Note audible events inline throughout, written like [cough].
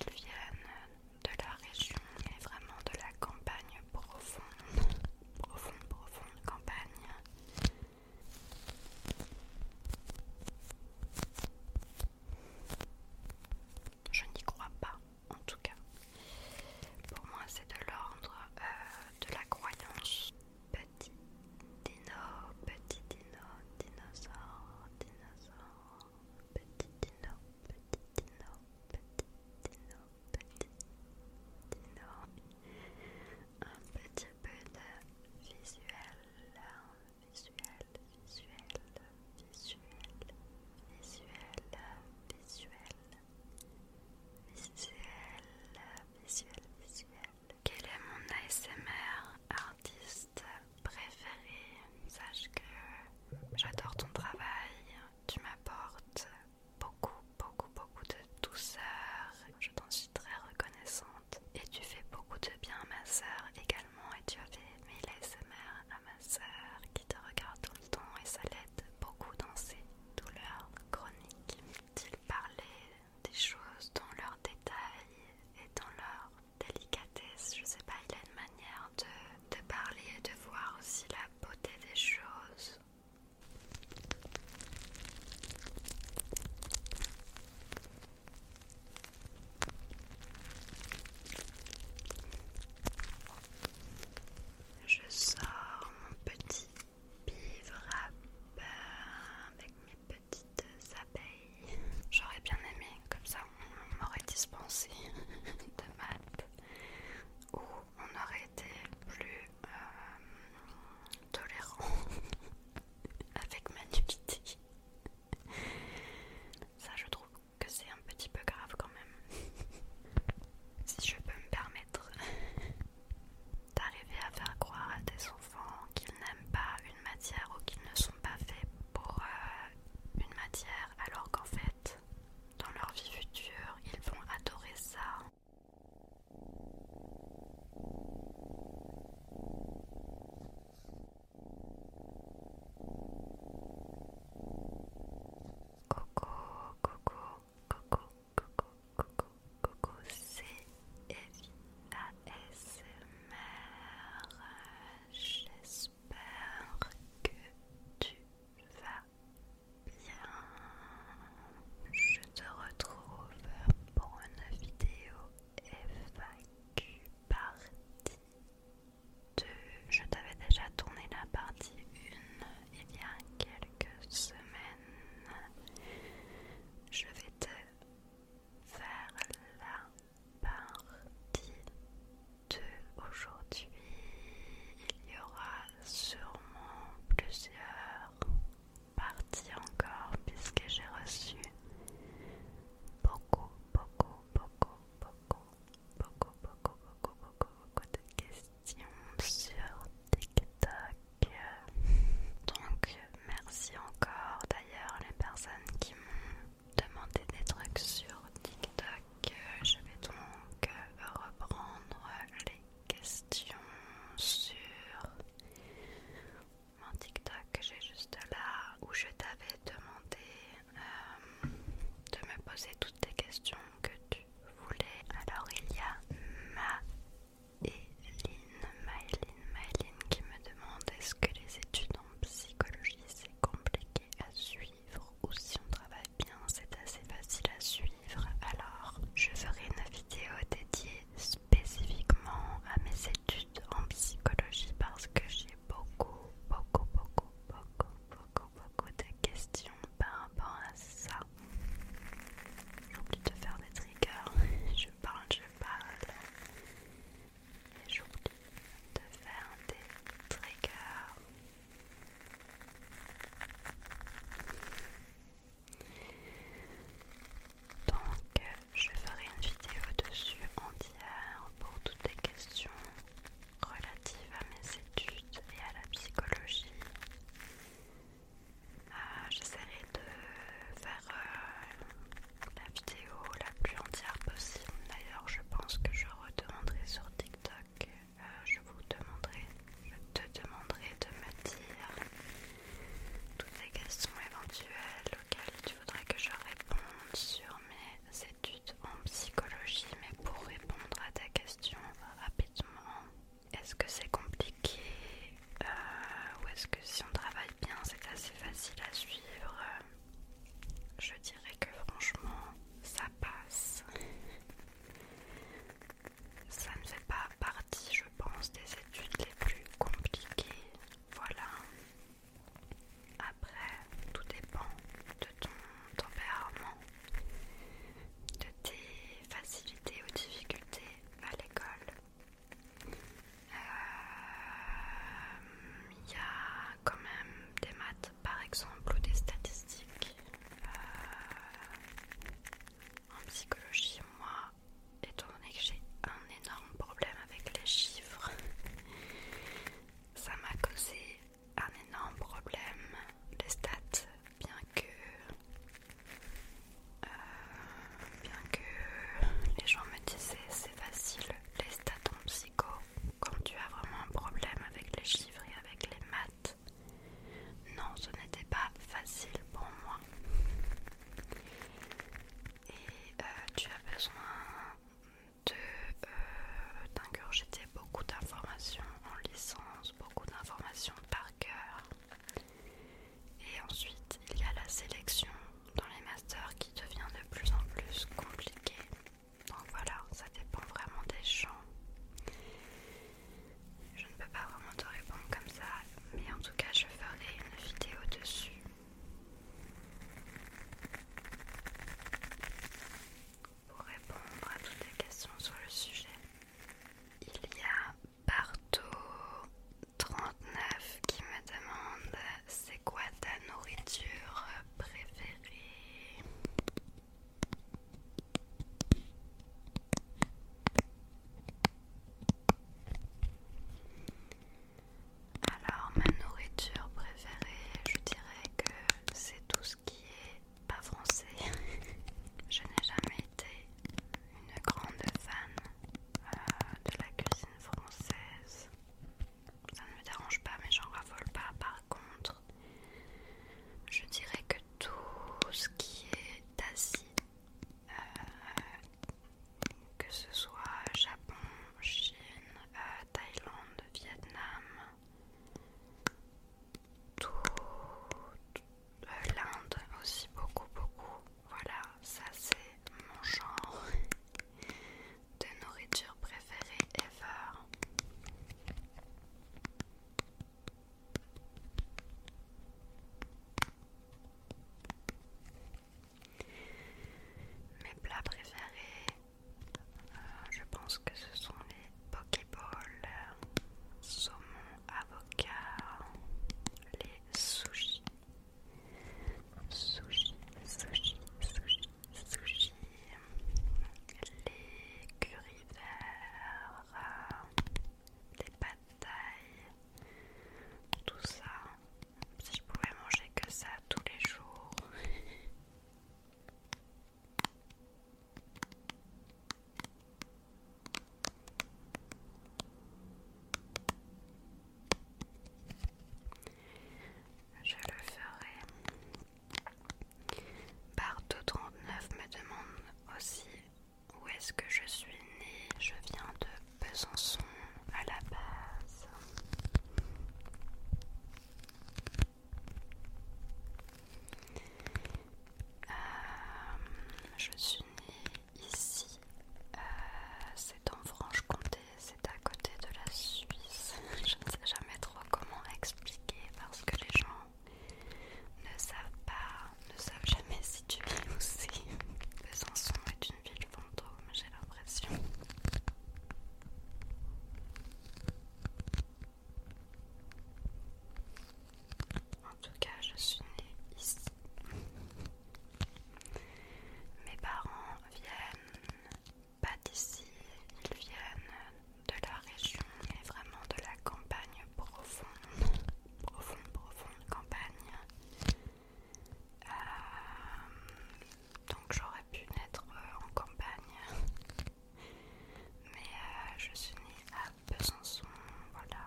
Ils viennent de la région et vraiment de la campagne profonde, profonde, profonde campagne. Je n'y crois pas, en tout cas. Pour moi, c'est de l'ordre euh, de la croyance petit dino, petit dino, dinosaure, dinosaure, petit dino, petit dino, petit dino, petit dino. Un petit peu de visuel, visuel, visuel, visuel, visuel, visuel. Visuel, visuel, visuel, quel est mon ASMR artiste préféré Sache que j'adore ton travail, tu m'apportes beaucoup, beaucoup, beaucoup de douceur. Je t'en suis très reconnaissante et tu fais beaucoup de bien à ma sœur également. Et tu as fait ASMR à ma sœur qui te regarde tout le temps et ça l'aide beaucoup dans ses douleurs chroniques. Il parler des choses dans leur détail et dans leur délicatesse. Je sais pas, il a une manière de, de parler et de voir aussi la beauté des choses. Je sors mon petit vivre ben, avec mes petites abeilles. J'aurais bien aimé, comme ça on m'aurait dispensé [laughs] de maths, ou on aurait été plus euh, tolérant [laughs] avec ma nudité. Ça, je trouve que c'est un petit peu grave quand même. [laughs] si je peux me permettre d'arriver à faire croire à tes enfants qu'ils n'aiment pas une matière ou qu'ils ne sont pas faits pour euh, une matière alors qu'en fait, dans leur vie future, ils vont adorer ça. Coco, coco, coco coucou, coucou, coucou, c'est ASMR. J'espère que tu vas bien. Je te retrouve pour une vidéo FAQ partie 2. Je t'avais déjà tourné la partie 1 il y a quelques semaines. Je vais te vers la partie 2 aujourd'hui. Il y aura sûrement plusieurs parties encore puisque j'ai reçu beaucoup, beaucoup, beaucoup, beaucoup, beaucoup, beaucoup, beaucoup, beaucoup, beaucoup de questions sur TikTok euh, donc merci encore d'ailleurs les personnes qui m'ont demandé des trucs sur TikTok. Euh, je vais donc euh, reprendre les questions sur mon TikTok j'ai juste là où je t'avais demandé de me poser toutes tes questions que tu voulais. Alors il y a ma et Lynn, Myline, qui me demande est-ce que les études en psychologie c'est compliqué à suivre ou si on travaille bien c'est assez facile à suivre alors je ferai une vidéo dédiée spécifiquement à mes études en psychologie parce que j'ai beaucoup beaucoup beaucoup beaucoup beaucoup beaucoup de questions par rapport à ça J'oublie de faire des triggers. [laughs] je parle, je parle. Et j'oublie de faire des triggers. Donc, je ferai une vidéo dessus entière pour toutes les questions relatives à mes études et à la psychologie. Ah, j'essaierai de faire euh, la vidéo la plus entière possible. D'ailleurs, je pense que je redemanderai sur TikTok. Euh, je vous demanderai, je te demanderai de me dire toutes les questions éventuelles auxquelles tu voudrais que je réponde sur mes études en psychologie. Mais pour répondre à ta question euh, rapidement, est-ce que c'est compliqué euh, ou est-ce que si on travaille bien, c'est assez facile à suivre Je dirais que franchement, ça passe. Ça ne fait pas partie, je pense, des études les plus compliquées. Voilà. Après, tout dépend de ton tempérament, de tes facilités ou difficultés à l'école. Il euh, y a quand même des maths par exemple ou des statistiques. Euh, en psychologie, moi, étant donné que j'ai un énorme problème avec les chiffres, ça m'a causé un énorme problème. Les stats, bien que euh, bien que les gens me disaient c'est facile, les stats en psycho, quand tu as vraiment un problème avec les chiffres et avec les maths, non, ce n'était pas facile pour moi. Et euh, tu as besoin d'ingurgiter euh, beaucoup d'informations en licence, beaucoup d'informations par cœur. Et ensuite, il y a la sélection dans les masters qui devient de plus en plus compliquée. Donc voilà, ça dépend vraiment des champs. Je ne peux pas vraiment te répondre comme ça, mais en tout cas, je ferai une vidéo dessus. Pour répondre à toutes les questions sur le sujet, il y a partout 39 qui me demande c'est quoi ta nourriture préférée Alors ma nourriture préférée je dirais que c'est tout ce qui est pas français. [laughs] je n'ai jamais été une grande fan euh, de la cuisine française. Ça ne me dérange pas, mais j'en raffole pas. Par contre, je dirais que tout ce qui est Asie, euh, que ce soit Japon, Chine, euh, Thaïlande, Vietnam, tout, euh, l'Inde aussi beaucoup beaucoup. Voilà, ça c'est mon genre [laughs] de nourriture préférée ever. Mes plats préférés, euh, je pense que ce sont les Pokéball saumon, avocat, les sushis, sushi, sushis, sushi, sushi, les curry verts, les batailles, tout ça. Si je pouvais manger que ça tous les jours. [laughs] Je le ferai. trente 39 me demande aussi où est-ce que je suis née. Je viens de Besançon à la base. Euh, je suis née Ici, euh, c'est en Franche-Comté, c'est à côté de la Suisse. [laughs] Je ne sais jamais trop comment expliquer parce que les gens ne savent pas, ne savent jamais si tu vis ou si Besançon est une ville fantôme, j'ai l'impression. En tout cas, je suis née ici. Mes parents viennent pas d'ici, ils viennent de la région, mais vraiment de la campagne profonde, profonde, profonde campagne. Euh, donc j'aurais pu naître euh, en campagne, mais euh, je suis née à Besançon, voilà,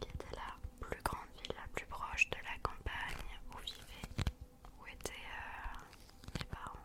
qui était la plus grande ville, la plus proche de la campagne où vivaient, où étaient euh, mes parents.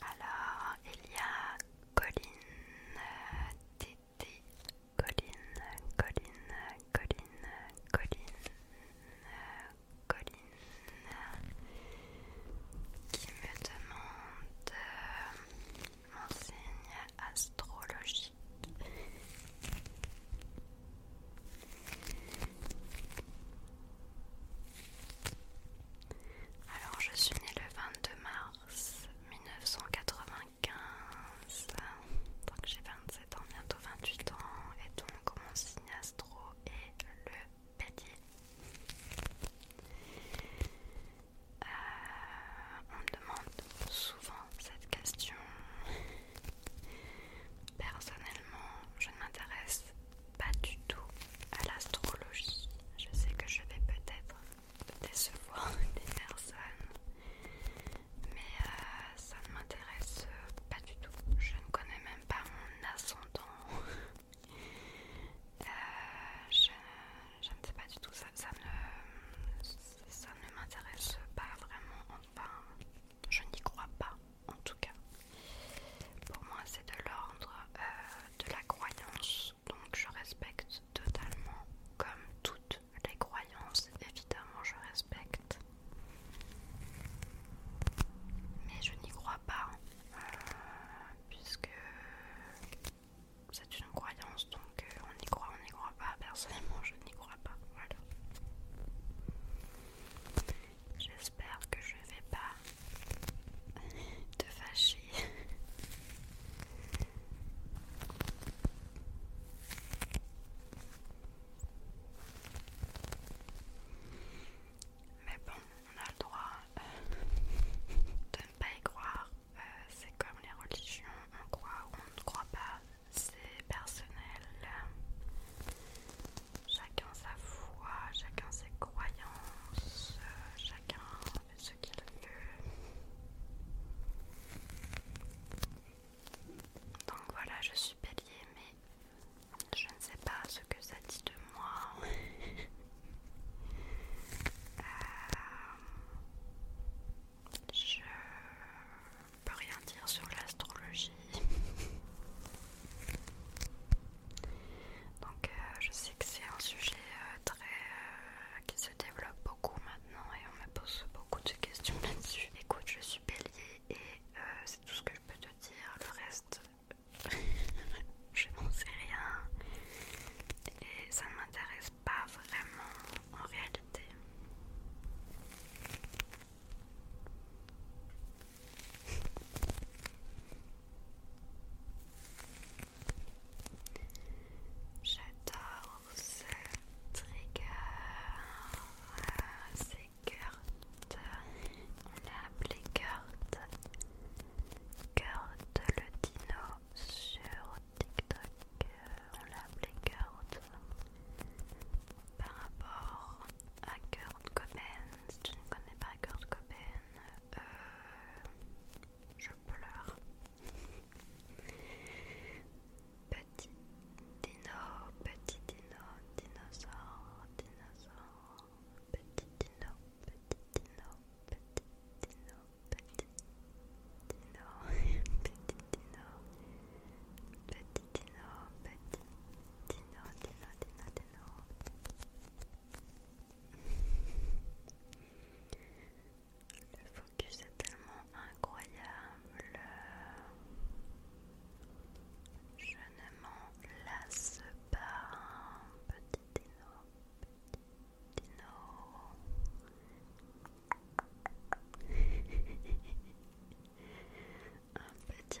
Alors, il y a Colline, Titi, Colline, Colline, Colline, Colline, Colline, qui me demande euh, mon signe astrologique. Alors, je suis née le 22 mars 1995, donc j'ai 27 ans, bientôt 28 ans, et donc mon signe astro est le bélier. Euh, on me demande souvent cette question. Personnellement, je ne m'intéresse pas du tout à l'astrologie. Je sais que je vais peut-être décevoir [laughs] des personnes, mais euh, ça ne m'intéresse pas du tout. Je ne connais même pas mon ascendant. [laughs] Euh, je, ne sais pas du tout, ça, ça ne, ça ne m'intéresse pas vraiment. Enfin, je n'y crois pas, en tout cas. Pour moi, c'est de l'ordre euh, de la croyance, donc je respecte totalement, comme toutes les croyances, évidemment, je respecte. Mais je n'y crois pas, euh, puisque c'est une croyance, donc euh, on y croit, on n'y croit pas. Personnellement, je n'y crois pas. Voilà. J'espère que je vais pas te fâcher. Mais bon, on a le droit euh, de ne pas y croire. Euh, c'est comme les religions, on croit ou on ne croit pas. C'est personnel. Chacun sa foi, chacun ses croyances, chacun fait ce qu'il veut. Donc voilà, je suis bélier, mais je ne sais pas ce que ça dit de moi. Je euh, je peux rien dire sur l'astrologie donc euh, je sais que c'est un sujet euh, très euh, qui se développe beaucoup maintenant et on me pose beaucoup de questions [laughs] là-dessus. Écoute, je suis bélier et c'est tout ce que je peux te dire. Le reste, [laughs] je n'en sais rien et ça ne m'intéresse pas vraiment en réalité. J'adore ce trigger, c'est Kurt, On a appelé cartes, cartes le dino sur TikTok. on l'a appelé cartes par rapport à Kurt Cobain, si tu ne connais pas Kurt Cobain, euh, je pleure. petit dino, petit dino, dinosaure, dinosaure, petit dino, petit dino, petit dino, petit dino, petit dino, petit dino, petit Dino, Dino, Dino, Dino. Le focus est tellement incroyable. Je ne m'en lasse pas. Petit Dino, petit Dino. [laughs] Un petit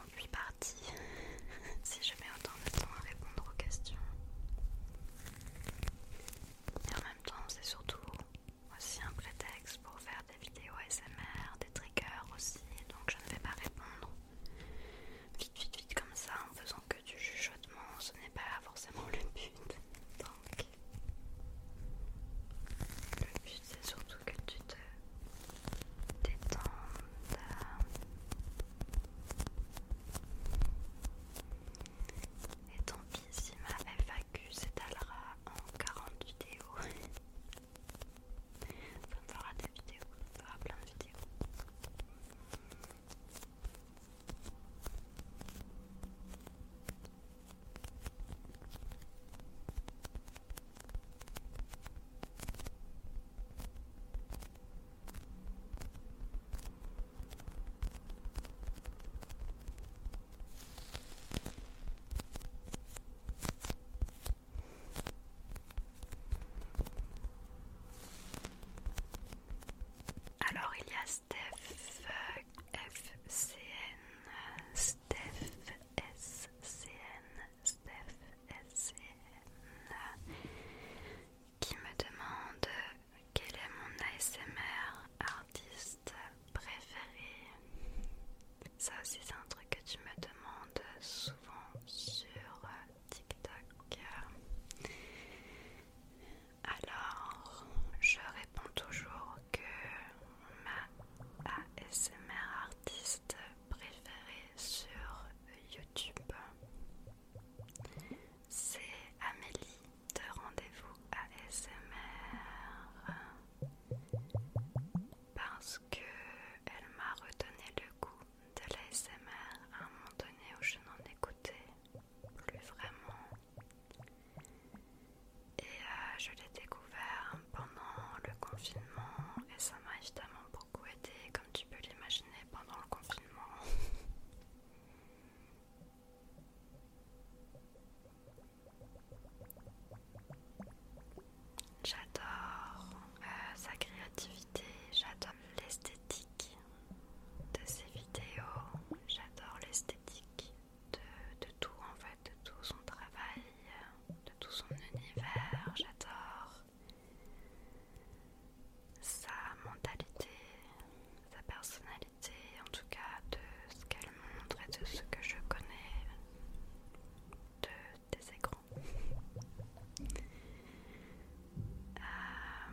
conduit partie [laughs] si je mets autant de temps à répondre aux questions. Et en même temps, c'est surtout aussi un prétexte pour faire des vidéos ASMR, des triggers aussi, donc je ne vais pas répondre vite, vite, vite comme ça en faisant que du chuchotement, ce n'est pas forcément le but. le but c'est surtout que tu te détends. Et tant pis si ma FAQ s'étalera en 40 vidéos. ça me fera des vidéos, ça me fera plein de vidéos. Alors il y a Steph euh, FCN, Steph SCN, Steph qui me demande quel est mon ASMR artiste préféré. Ça aussi c'est un truc que tu me demandes souvent sur TikTok. Alors, je réponds toujours que ma ASMR artiste préférée sur YouTube c'est Amélie de Rendez-vous S.M.R. parce que elle m'a redonné le goût de l'ASMR à un moment donné où je n'en écoutais plus vraiment et euh, je l'ai découvert pendant le confinement et ça m'a évidemment beaucoup aidé tu peux l'imaginer pendant le confinement. J'adore euh, sa créativité, j'adore l'esthétique de ses vidéos, j'adore l'esthétique de tout en fait, de tout son travail, de tout son univers, j'adore sa mentalité, sa personnalité, en tout cas de ce qu'elle montre et de ce que je connais de, tes écrans. Euh,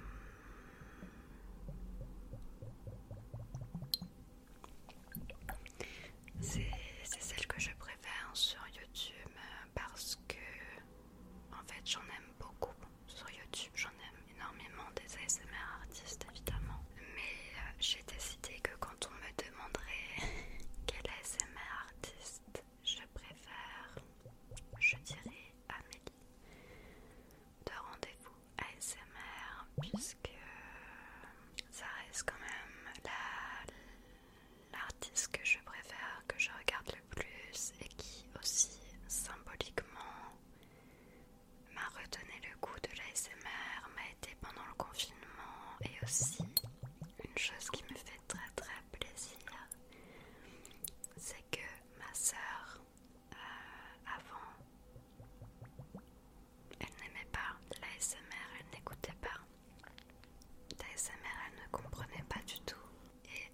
c'est celle que je préfère sur YouTube parce que en fait, j'en aime beaucoup sur YouTube, j'en aime énormément des ASMR artistes évidemment, mais euh, j'ai décidé que quand on me demanderait [laughs] quel ASMR artiste je préfère, je dirais Amélie de rendez-vous ASMR puisque euh, ça reste quand même la, l'artiste que je préfère, que je regarde le plus et qui aussi symboliquement m'a redonné le goût de l'ASMR, m'a été pendant le confinement et aussi une chose qui me fait très très plaisir, c'est que ma sœur euh, avant, elle n'aimait pas l'ASMR, elle n'écoutait pas. SMR elle ne comprenait pas du tout. Et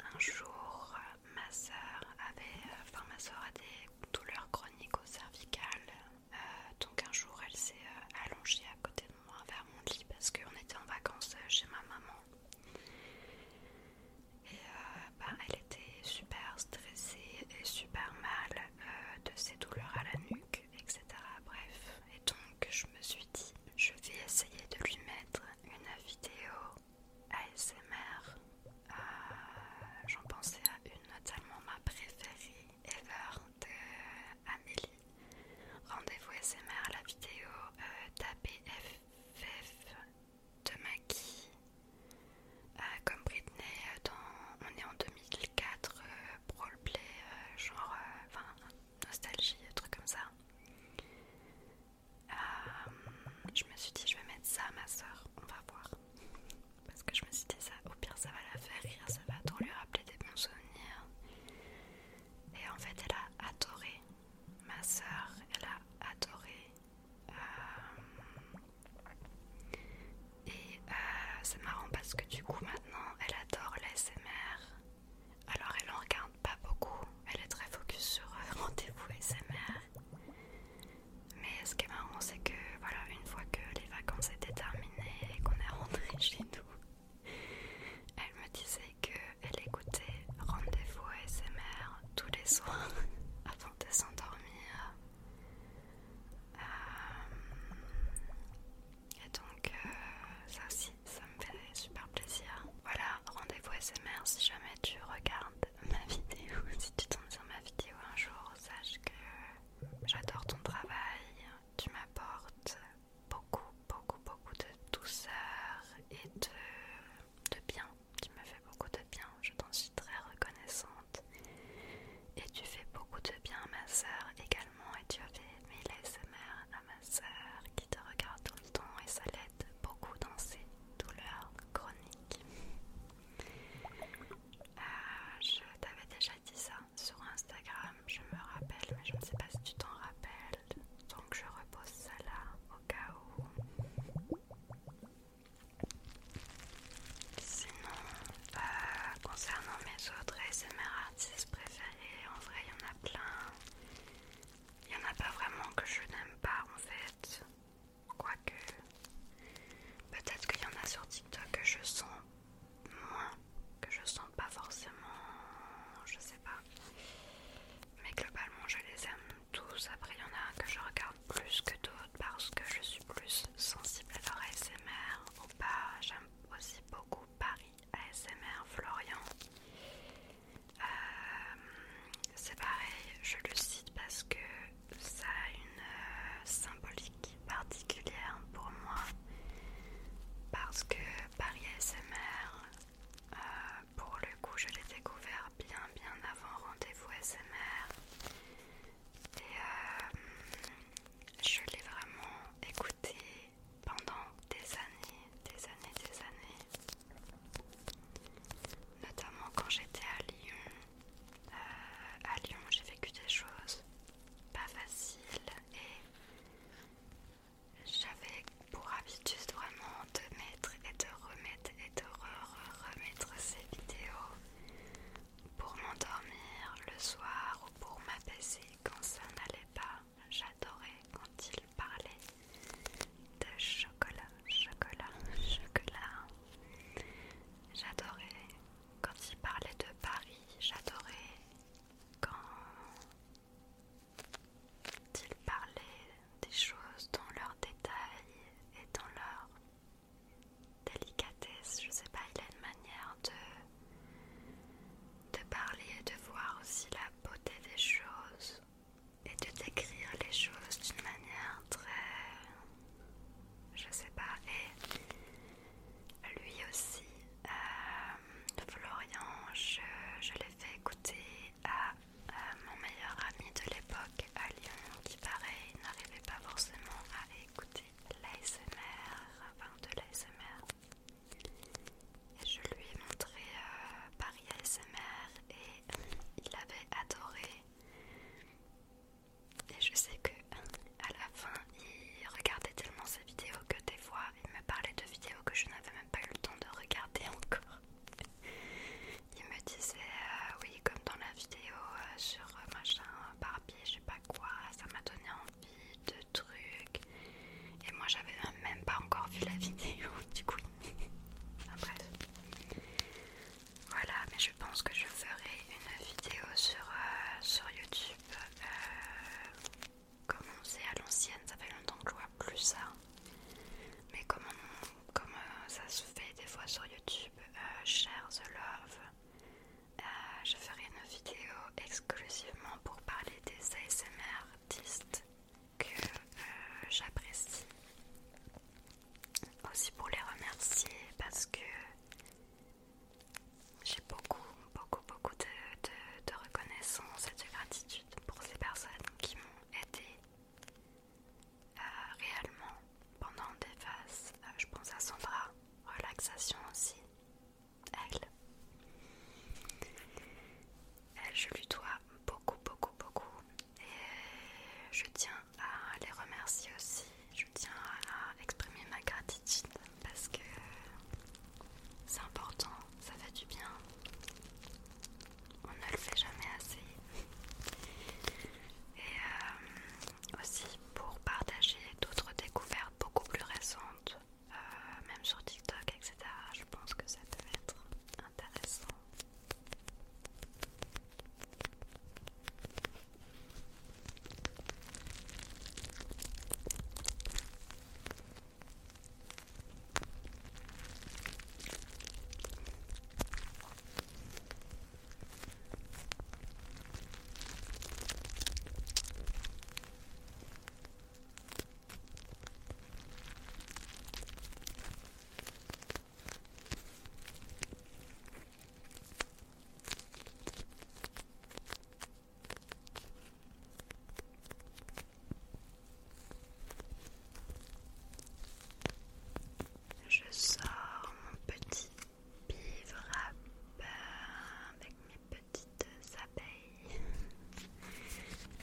un jour, ma soeur avait, euh, enfin ma a des douleurs chroniques au cervical. Euh, donc un jour, elle s'est euh, allongée à côté de moi vers mon lit parce qu'on était en vacances chez ma maman. Et ben, elle était super stressée et super mal de ses douleurs à la nuque etc. Bref, et donc je me suis dit, je vais essayer de lui mettre une vidéo ASMR. Euh, j'en pensais à une, notamment ma préférée ever de Amélie. Rendez-vous ASMR, la vidéo euh, d'ABFF de Maggie. Euh, comme Britney, dans, on est en 2004, pour Play genre, enfin, nostalgie, des trucs comme ça. Euh, je me suis dit, je vais mettre ça à ma soeur, on va voir. Parce que je me suis dit, ça, au pire, ça va la faire rire, ça va trop lui rappeler des bons souvenirs. Et en fait, elle a adoré. Ma soeur, elle a adoré. Euh, et c'est euh, marrant parce que du coup, maintenant, elle adore l'ASMR. Alors elle en regarde pas beaucoup, elle est très focus sur euh, [laughs] rendez-vous SMR. Mais ce qui est marrant c'est que voilà, une fois que les vacances étaient terminées et qu'on est rentré [laughs] chez nous, elle me disait que qu'elle écoutait rendez-vous SMR tous les soirs [laughs] avant de s'endormir. Euh, et donc euh, ça aussi ça me fait super plaisir. Voilà, rendez-vous SMR si jamais tu regardes ma vidéo, [laughs] si tu tombes sur ma vidéo un jour, sache que j'adore ton travail, tu m'apportes beaucoup, beaucoup, beaucoup de douceur et de, bien. Tu me fais beaucoup de bien, je t'en suis très reconnaissante. Et tu fais beaucoup de bien à ma sœur également et tu as fait mes SMR à ma soeur qui te regarde tout le temps et ça l'aide beaucoup dans ses douleurs chroniques. Euh, je t'avais déjà dit ça sur Instagram, je me rappelle, mais je ne sais pas si tu t'en rappelles. Donc je repose ça là au cas où. Sinon, euh, concernant mes autres mes artistes préférés, et en vrai il y en a plein. Il y en a pas vraiment que je n'aime pas en fait. Quoique, peut-être qu'il y en a sur TikTok que je sens moins, que je sens pas forcément, je sais pas. Mais globalement, je les aime tous. Après, il y en a un que je regarde plus que d'autres parce que je suis plus sensible à leur ASMR ou pas. J'aime aussi beaucoup Paris ASMR Florian. Euh, c'est pareil, je le cite parce que ça a une euh, symbolique particulière pour moi. Parce que Paris ASMR, euh, pour le coup, je l'ai découvert bien bien avant Rendez-vous ASMR. Et je l'ai vraiment écouté pendant des années, des années, des années. Notamment quand j'étais à Lyon. Euh, à Lyon, j'ai vécu des choses pas faciles et j'avais pour habitude vraiment de mettre et de remettre et de re, remettre ces vidéos pour m'endormir le soir ou pour m'apaiser quand ça n'allait pas j'adorais quand il parlait de chocolat, chocolat, chocolat. J'adorais quand il parlait de Paris, j'adorais quand il parlait des choses dans leur détail et dans leur délicatesse. Je sais pas, il a une manière de, parler et de voir aussi la beauté des choses et de décrire les choses d'une manière très... je sais pas. Et lui aussi, euh, Florian, je, l'ai fait écouter à mon meilleur ami de l'époque à Lyon qui pareil n'arrivait pas forcément à écouter l'ASMR, enfin de l'ASMR et je lui ai montré euh, Paris ASMR et il avait adoré. Et je sais que à la fin, il regardait tellement ses vidéos que des fois, il me parlait de vidéos que je n'avais même pas eu le temps de regarder encore. Il me disait euh, oui, comme dans la vidéo euh, sur machin Barbie, je sais pas quoi, ça m'a donné de trucs. Et moi, j'avais même pas encore vu la vidéo, [laughs] du coup. Voilà, mais je pense que je ferai une vidéo sur, euh, sur YouTube. Euh, comme on sait à l'ancienne, ça fait longtemps que je vois plus ça. Mais comme, euh, ça se fait des fois sur YouTube, cher the Love, euh, je ferai une vidéo exclusivement pour parler des ASMR artistes que euh, j'apprécie. Aussi pour les remercier parce que j'ai beaucoup, beaucoup, beaucoup de, reconnaissance et de gratitude pour ces personnes qui m'ont aidé euh, réellement pendant des phases. je pense à Sandra, relaxation aussi elle. Je lui dois beaucoup, beaucoup, beaucoup. Et je tiens à les remercier aussi. Je tiens à exprimer ma gratitude parce que c'est important, ça fait du bien. On ne le fait jamais assez. Et euh, aussi pour partager d'autres découvertes beaucoup plus récentes euh, même sur TikTok, etc. Je pense que ça peut être intéressant. Je sors mon petit bivre avec petites abeilles.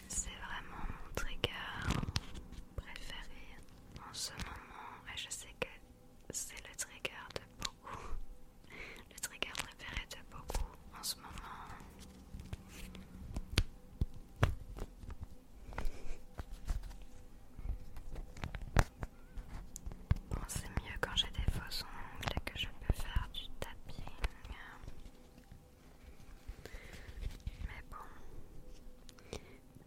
C'est vraiment mon trigger préféré en ce moment et je sais que c'est le trigger de beaucoup. Le trigger préféré de beaucoup en ce moment. Bon, c'est mieux quand j'ai des faux ongles et que je peux faire du tatouage. Mais bon.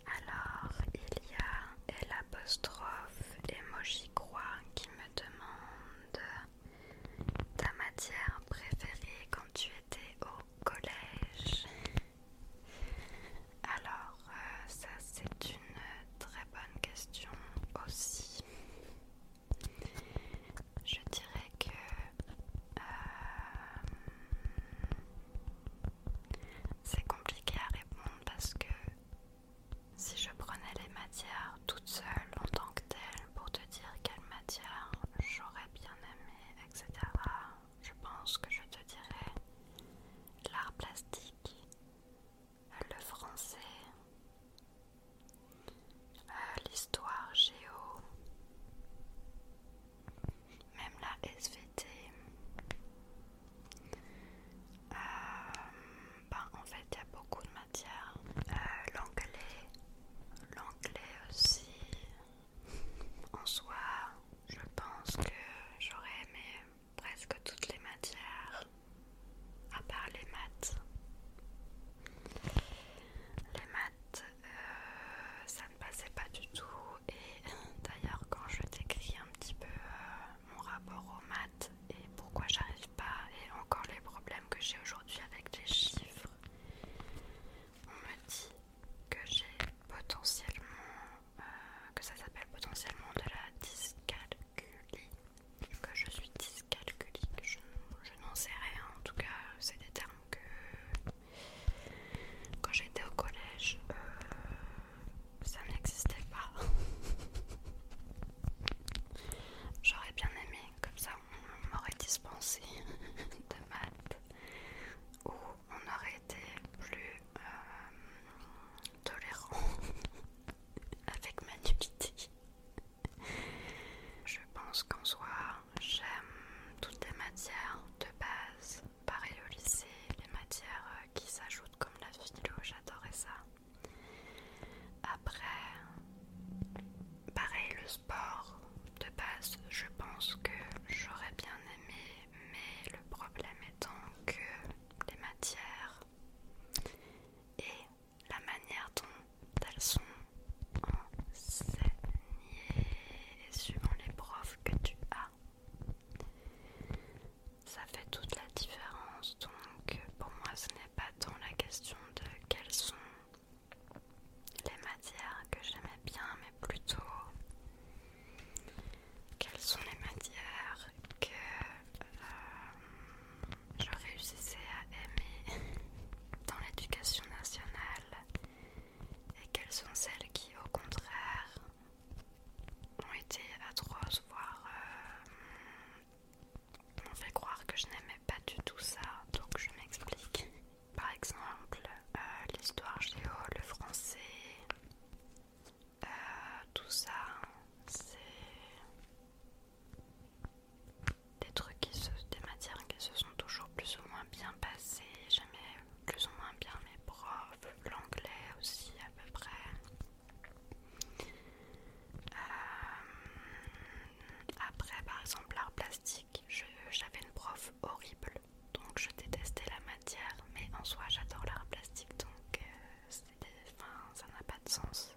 Alors, il y a l'apostrophe emoji qui me demande ta matière préférée quand tu étais au collège. Alors, ça c'est une très bonne question aussi. Je dirais que euh, c'est compliqué à répondre parce que si je prenais les matières toutes seules en tant que telle pour te dire quelle matière j'aurais bien aimé, etc., je pense que je te dirais l'art plastique le français, euh, l'histoire géo, même la SVT. Euh, ben, en fait, il y a beaucoup de matières. Euh, l'anglais, l'anglais aussi. En soi, je pense que j'aurais aimé presque toutes les matières à part les maths. Les maths, euh, ça ne passait pas du tout. Et [laughs] d'ailleurs, quand je décris un petit peu euh, mon rapport aux maths et pourquoi j'arrive pas, et encore les problèmes que j'ai aujourd'hui avec les chiffres, on me dit que j'ai potentiellement, euh, que ça s'appelle potentiellement de la dyscalculie que je suis dyscalculique, je, n'en sais rien. En tout cas, c'est des termes que quand j'étais au collège, euh, ça n'existait pas. [laughs] J'aurais bien aimé, comme ça on m'aurait dispensé de maths ou on aurait été plus tolérants euh, tolérant [laughs] avec ma nullité. Je pense qu'en soi, j'aime toutes les matières de base. Pareil au lycée, les matières euh, qui s'ajoutent comme la philo, j'adorais ça. Après, pareil le sport de base, je pense que j'aurais bien aimé, mais le problème étant que les matières et la manière dont elles sont enseignées et suivant les profs que tu as. Ça fait toute la différence, donc pour moi ce n'est pas tant la question de quelles sont les matières que j'aimais bien, mais plutôt quelles sont les matières que euh, je réussissais à aimer [laughs] dans l'éducation nationale et quelles sont celles qui au contraire ont été atroces, voire euh, m'ont fait croire que je n'aimais pas du tout ça. Donc je m'explique. Par exemple, euh, l'histoire géo, le français, euh, tout ça, c'est des trucs qui se, des matières qui se sont toujours plus ou moins bien passées. J'aimais plus ou moins bien mes profs, l'anglais aussi à peu près. Euh, après, par exemple, l'art plastique, j'avais une prof horrible, donc je détestais la matière, mais en soi, j'adore l'art plastique, donc euh, enfin, ça n'a pas de sens.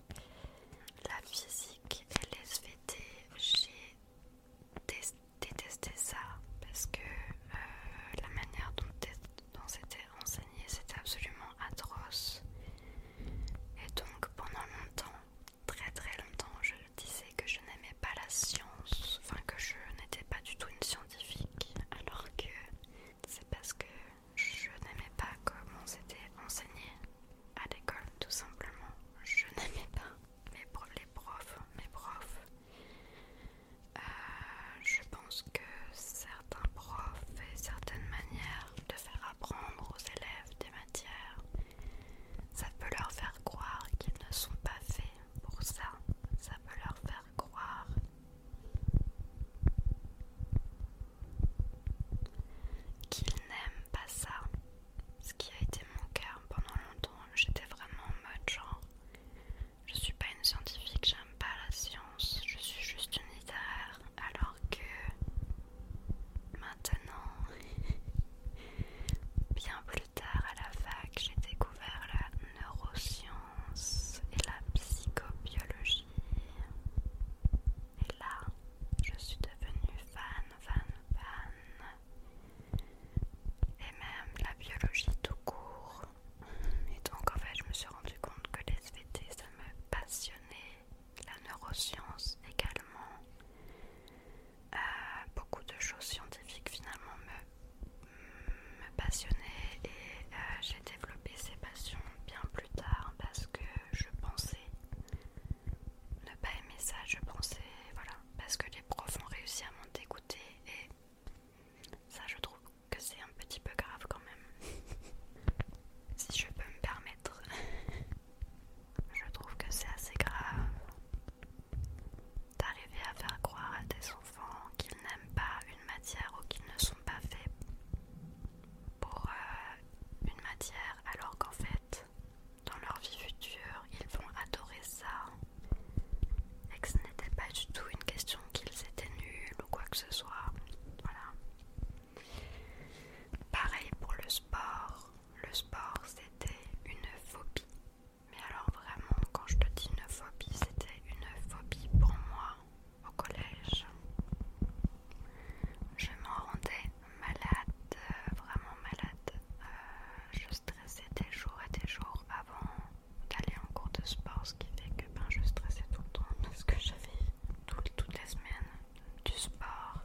La physique et les SVT, j'ai détesté ça parce que euh, la manière dont, dont c'était enseigné, c'était absolument atroce. Et donc pendant longtemps, très très longtemps, je disais que je n'aimais pas la science, enfin que je n'étais pas du tout une scientifique, alors que c'est parce que je n'aimais pas comment on s'était enseigné à l'école, tout simplement. Je n'aimais pas les profs, mes profs. Euh, je pense que certains profs et certaines manières de faire apprendre aux élèves des matières, ça peut leur faire croire qu'ils ne sont pas faits pour ça. Ça peut leur faire croire qu'il n'aime pas ça. Ce qui a été mon cœur pendant longtemps, j'étais vraiment en mode genre je suis pas une scientifique, j'aime pas la science, je suis juste une littéraire. Alors que maintenant, [laughs] bien plus tard à la fac, j'ai découvert la neuroscience et la psychobiologie. Et là, je suis devenue fan, fan, fan. Et même la biologie tout court. Et donc en fait, je me suis rendu compte que les SVT, ça me passionnait. La neuroscience également. Euh, beaucoup de choses scientifiques finalement me, me passionnaient et j'ai euh, Développer ses ces passions bien plus tard parce que je pensais ne pas aimer ça, je pensais, voilà, parce que les profs ont réussi à m'en dégoûter et ça je trouve que c'est un petit peu grave quand même. [laughs] si je peux me permettre. [laughs] je trouve que c'est assez grave d'arriver à faire croire à des enfants qu'ils n'aiment pas une matière ou qu'ils ne sont pas faits pour euh, une matière alors qu'en fait, dans leur vie future, ils vont adorer ça et que ce n'était pas du tout une question qu'ils étaient nuls ou quoi que ce soit. Voilà. Pareil pour le sport. Le sport, c'était une phobie. Mais alors vraiment, quand je te dis une phobie, c'était une phobie pour moi au collège. Je me rendais malade, vraiment malade. Euh, je stressais des jours et des jours avant d'aller en cours de sport, ce qui fait que ben, je stressais tout le temps parce que j'avais toutes les semaines du sport.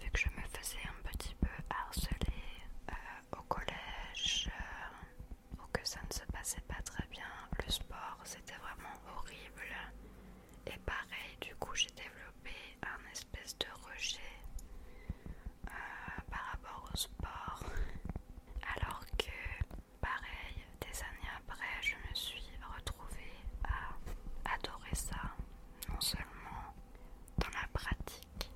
Vu que je me faisais un petit peu harceler euh, au collège euh, pour ou que ça ne se passait pas très bien le sport, c'était vraiment horrible. Et pareil, du coup, j'ai développé un espèce de rejet euh, par rapport au sport. Alors que, pareil, des années après, je me suis retrouvée à adorer ça, non seulement dans la pratique,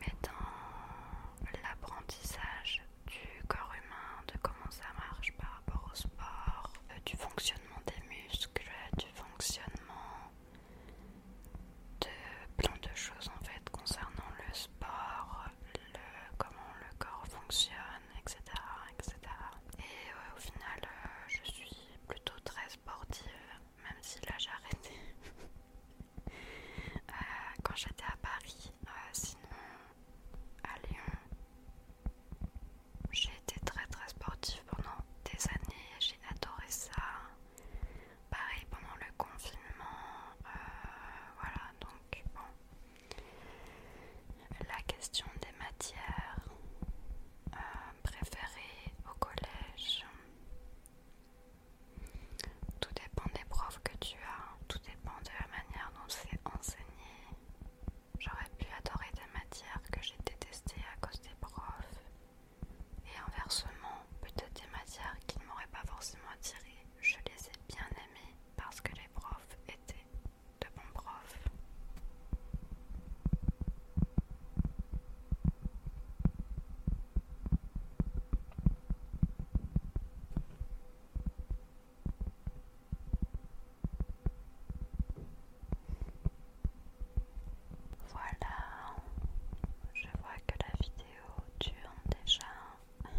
mais dans l'apprentissage du corps humain, de comment ça marche, par rapport au sport, euh, du fonctionnement des muscles, du fonctionnement de plein de choses en fait concernant le sport, comment le corps fonctionne, etc. etc. Et euh, au final, euh, je suis plutôt très sportive, même si là j'ai arrêté [laughs] quand j'étais à Paris. sinon, à Lyon, j'ai été très très sportive pendant des années, j'ai adoré ça. Pareil pendant le confinement, euh, voilà donc La question des matières euh, préférées au collège, tout dépend des profs que tu as, tout dépend de la manière dont c'est enseigné. J'aurais pu adorer des matières que j'ai détestées à cause des profs, et inversement, peut-être des matières qui ne m'auraient pas forcément attirée, je les ai bien aimées parce que les profs étaient de bons profs. Voilà, je vois que la vidéo dure déjà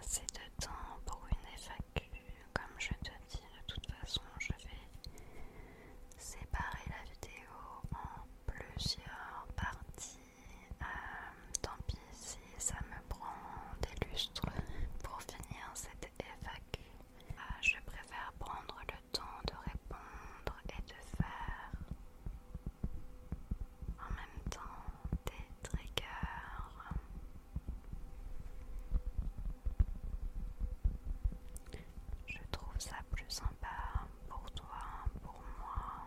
assez de temps pour une FAQ. Comme je te dis, de toute façon, je vais séparer la vidéo en plusieurs parties. Euh, euh, tant pis si ça me prend des lustres pour finir cette FAQ. Euh, je préfère prendre le temps de répondre et de faire en même temps des triggers. Je trouve ça plus sympa pour toi, pour moi.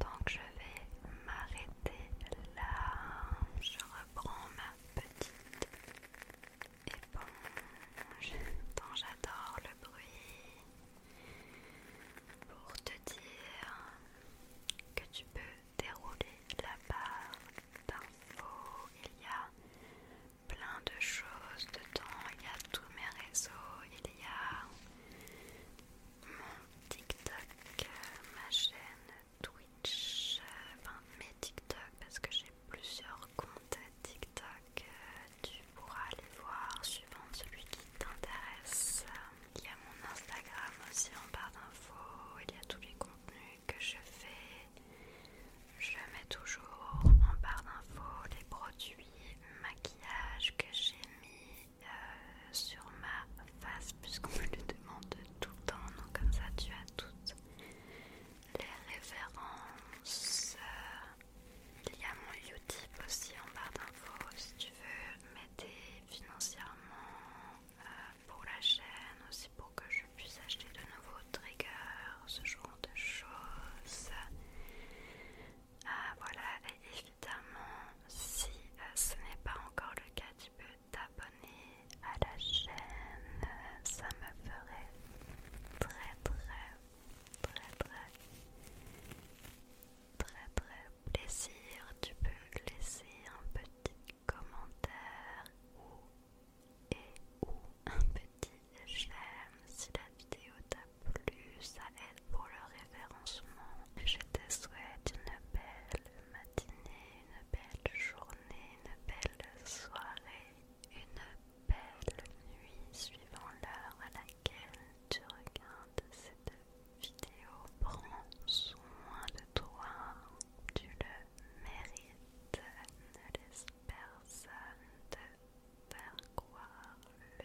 Donc je vais m'arrêter là. Je reprends ma petite éponge dont j'adore le bruit pour te dire que tu peux dérouler la barre d'infos. Il y a plein de choses dedans. Il y a tous mes réseaux. Il y a mon TikTok, euh, ma chaîne Twitch, euh, enfin mes TikTok parce que j'ai plusieurs comptes TikTok. Euh, tu pourras aller voir suivant celui qui t'intéresse. Il y a mon Instagram aussi en barre d'infos. Il y a tous les contenus que je fais. Je mets toujours en barre d'infos les produits maquillage que j'ai mis, euh, sur ma face puisqu'on me le demande tout le temps. Donc comme ça tu as toutes les références. Euh, il y a mon Utip aussi en barre d'infos si tu veux m'aider financièrement euh, pour la chaîne aussi pour que je puisse acheter de nouveaux triggers, ce genre de choses. Ah voilà, et évidemment, si euh, ce n'est pas encore le cas, tu peux t'abonner à la chaîne. ça me ferait très, très, très, très, très, très plaisir. Tu peux laisser un petit commentaire ou et ou un petit j'aime si la vidéo t'a plu. Ça pour le référencement. Je te souhaite une belle matinée, une belle journée, une belle soirée, une belle nuit suivant l'heure à laquelle tu regardes cette vidéo. Prends soin de toi, tu le mérites. Ne laisse personne te faire croire le